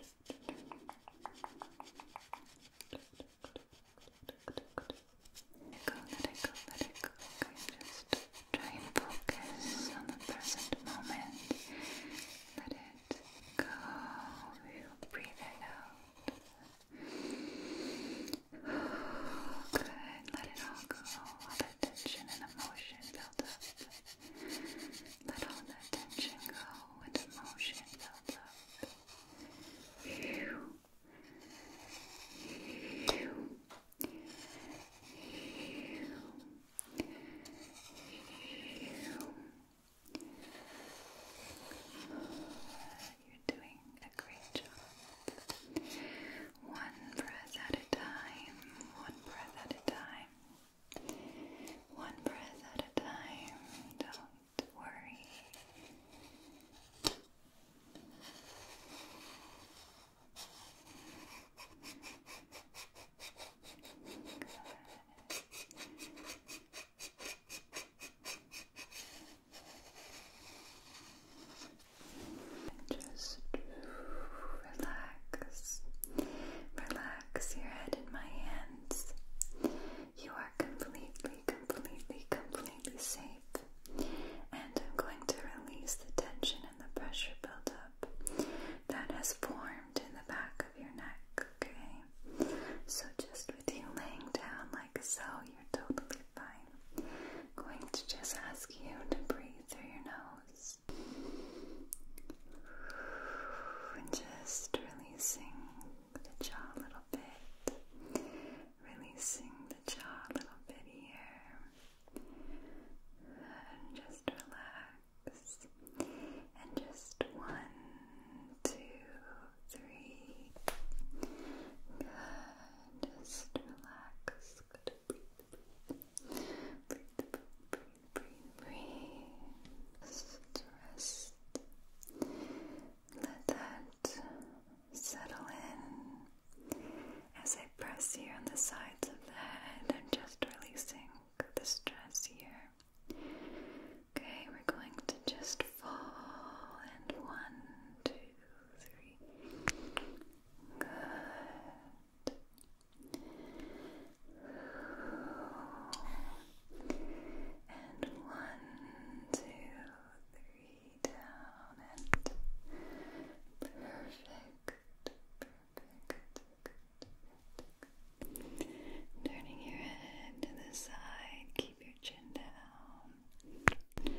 let it go, let it go. Okay, just try and focus on the present moment. Let it go. breathe it out. Good. Let it all go. All that tension and emotion built up. Let all that tension go and emotion built up. You're doing a great job. One breath at a time, one breath at a time, one breath at a time. Don't worry. Just relax. Relax your head in my hands. You are completely, completely, completely safe. And I'm going to release the tension and the pressure up that has formed in the back of your neck, okay? So, just with you laying down like so, you're totally fine. going to just ask you to breathe through your nose and just releasing the jaw a little bit, releasing the jaw a little bit here just relax. And just one, two, three. Good. Just relax. Good. Breathe, breathe. Breathe, breathe, breathe, rest. Let that settle in as I press here on the sides of the head, I'm just releasing the stress here. Okay, we're going to just fall and one, two, three. Good. And one, two, three down and perfect. Turning your head to the side, keep your chin down.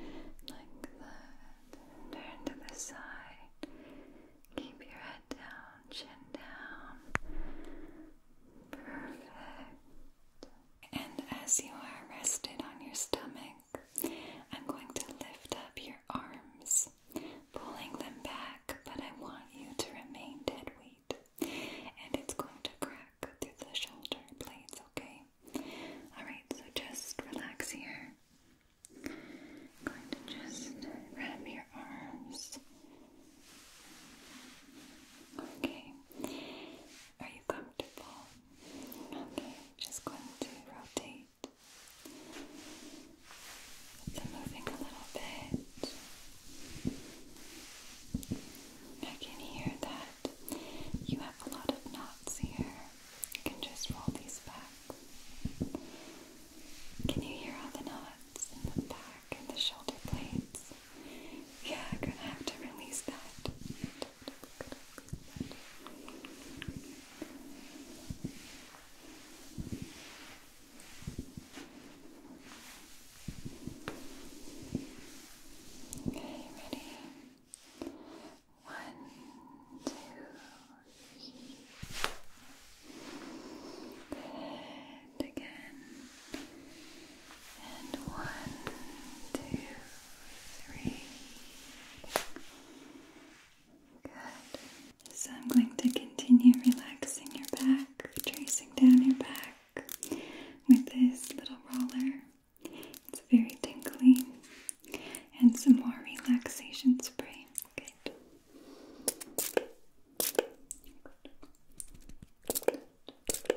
Like that. Turn to the side. Keep your head down, chin down. Perfect. And as you are rested on your stomach, I'm going to lift up your arms, pulling them back, but I want you to remain dead weight. And it's going to crack through the shoulder blades, okay? Alright, so just relax here. going to just wrap your arms. Okay. Are you comfortable? Okay, just going to rotate it's moving a little bit. I can hear that you have a lot of knots here. You can just roll these back. Can you hear all the knots in the back and the shoulder blades? Yeah, I'm gonna have to release that. Okay, ready? One, two, three. Good. Again. And one, two, three. So I'm going to continue relaxing your back, tracing down your back with this little roller. It's very tingling, And some more relaxation spray. Okay.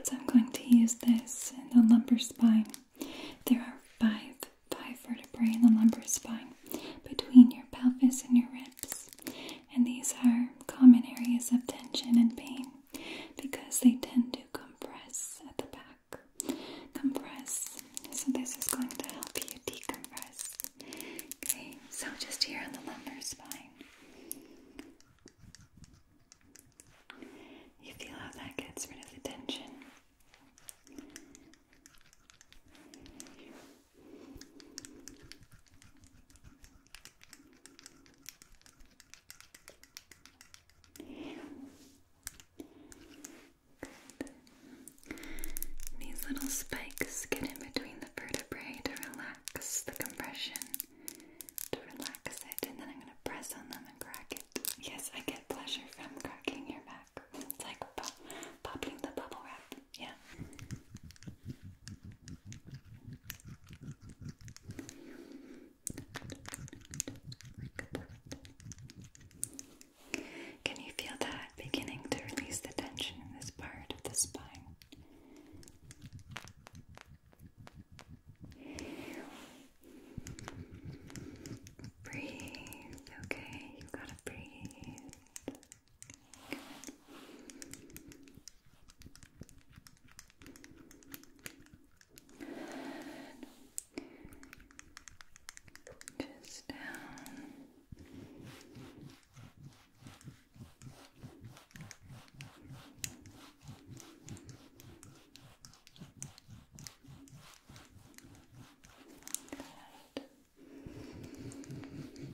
So I'm going to use this in the lumbar spine. There are five five vertebrae in the lumbar spine between your pelvis and your ribs. And these are common areas of tension and pain because they tend to compress at the back. Compress. So, this is going to help you decompress. Okay, so just here on the lumbar spine. You feel how that gets rid of the tension. These little spikes get in between the vertebrae to relax the compression, to relax it, and then I'm going to press on them and crack it. Yes, I pleasure from cracking your back. popping the bubble wrap. Yeah. Can you feel that beginning to release the tension in this part of the spine? Breathe, okay? You gotta breathe. Just down. Good just relax. Good.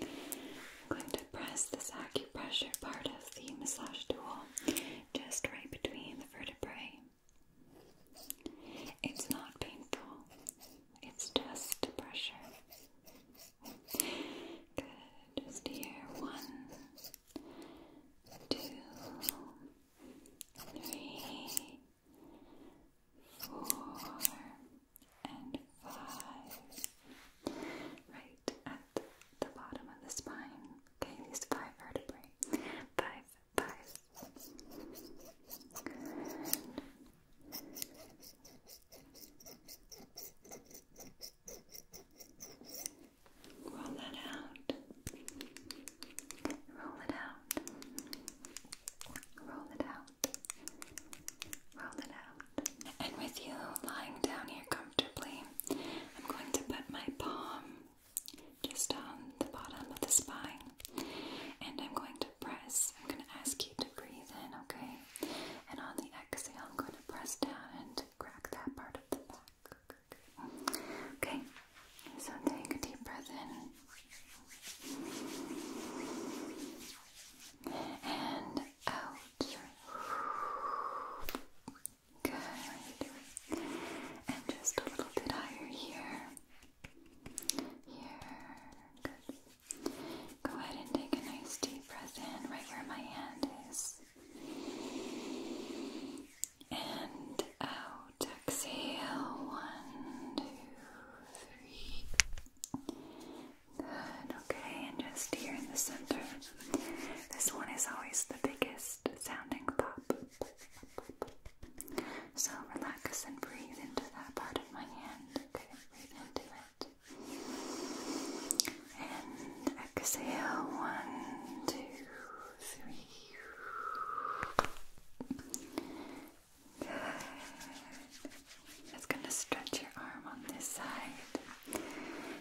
I'm going to press this acupressure part of the massage tool just right between the vertebrae. It's not painful, it's just pressure. Good, just here. One, two, and five. Right at the bottom of the spine. Okay, these five vertebrae. Five, five. Roll that out. Roll it out. Roll it out. Roll it out. And with you lying down here comfortably, I'm going to put my palm just on the bottom of the spine. And I'm going to press. I'm going to ask you to breathe in, okay? And on the exhale, I'm going to press down and crack that part of the back. Okay, so take a deep breath in and out. Good. And just a little bit higher here. Here. Good. Go ahead and take a nice deep breath in right where my hand is. And out. Exhale. One, two, three okay, and just here in the center. This one is always the biggest sounding pop. So relax and breathe into that part of my hand. Okay, breathe into it. And exhale. One, two, three. It's going to stretch your arm on this side.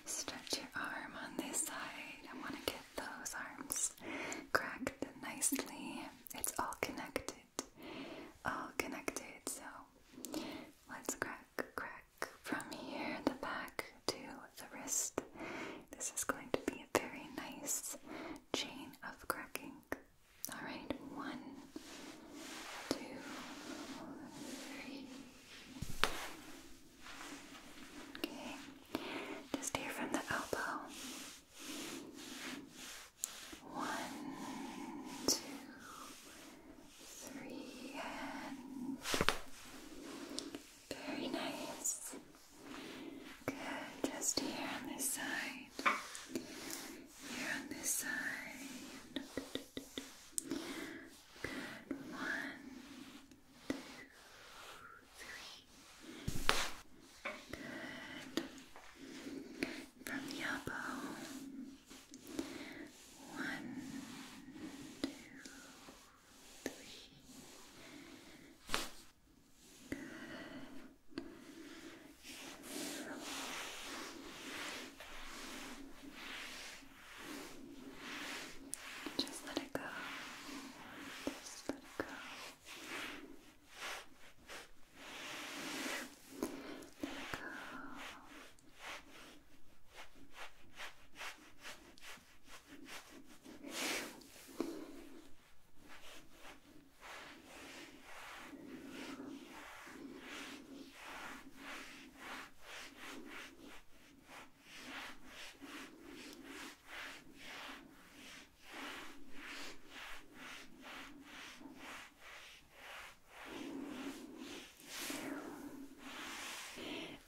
Stretch your arm on this side. I want to get those arms cracked nicely. It's all connected. All connected. So let's crack, crack from here, the back to the wrist. This is going to be a very nice chain of cracking. All right, one, two, three. Okay, just steer from the elbow. One, two, three, and very nice. Good, just here on this side. Here on this side. One, two, three. Good. From the elbow. One, two, three. Just let it go. Just let it go. Let it go. Let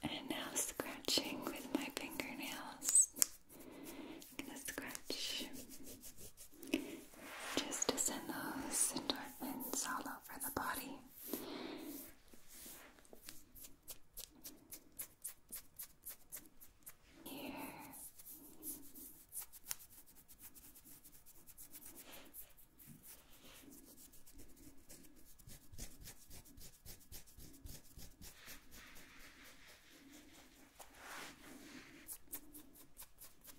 and now scratching with my fingernails. gonna scratch just to send those endorphins all over the body. Here.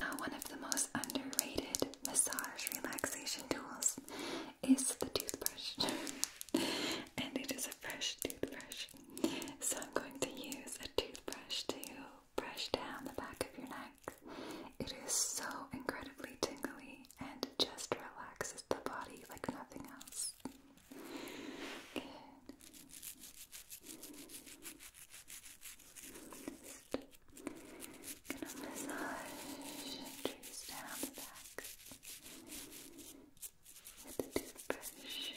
Now, one of the most underrated massage relaxation tools is the toothbrush, and it is a fresh toothbrush. So, I'm going to use a toothbrush to brush down the back of your neck. It is so incredibly tingly and just relaxes the body like nothing else. gonna massage and down the back with the toothbrush.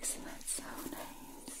Isn't that so nice?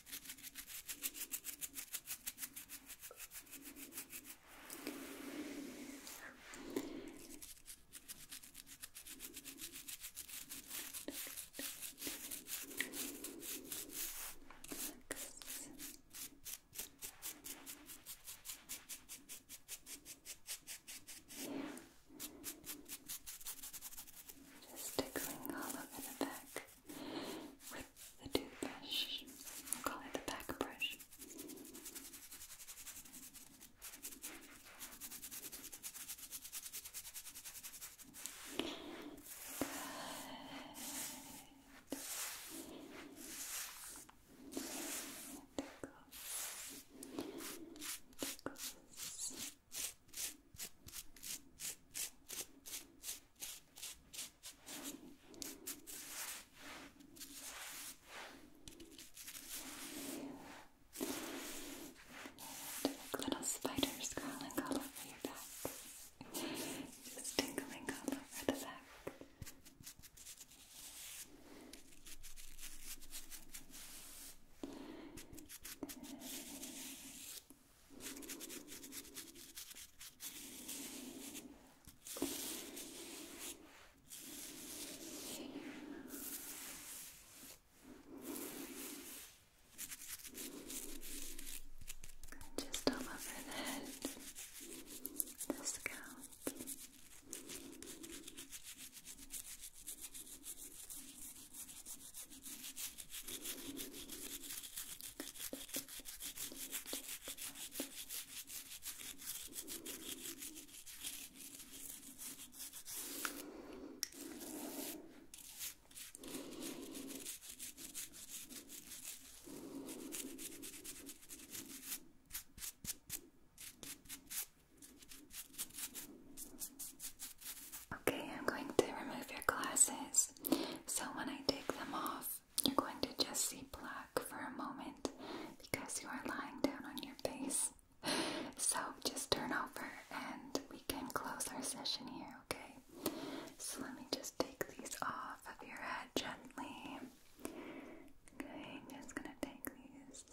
Just tickling all over the back with the toothbrush. We'll call it the back brush. Good. Tickles. Tickles. Like little spiders crawling all over your back. Just tingling all over the back. Good. Just all over the head, the scalp. Okay, I'm going to remove your glasses so when I take them off, you're going to just see black for a moment because you are lying down on your face. So just turn over and we can close our session here, okay? So let me just take these off of your head gently. Okay, just gonna take these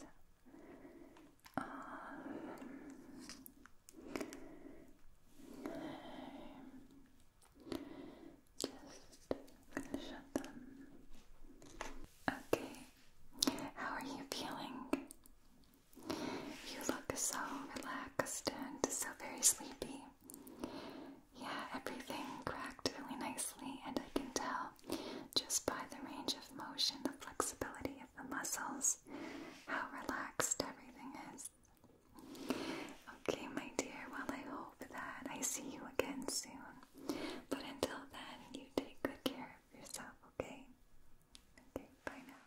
just shut them. Okay, how are you feeling? You look so relaxed and so very sleepy. Yeah, everything cracked really nicely, and I can tell just by the range of motion, the flexibility of the muscles, how relaxed everything is. Okay, my dear, well, I hope that I see you again soon. But until then, you take good care of yourself, okay? Okay, bye now.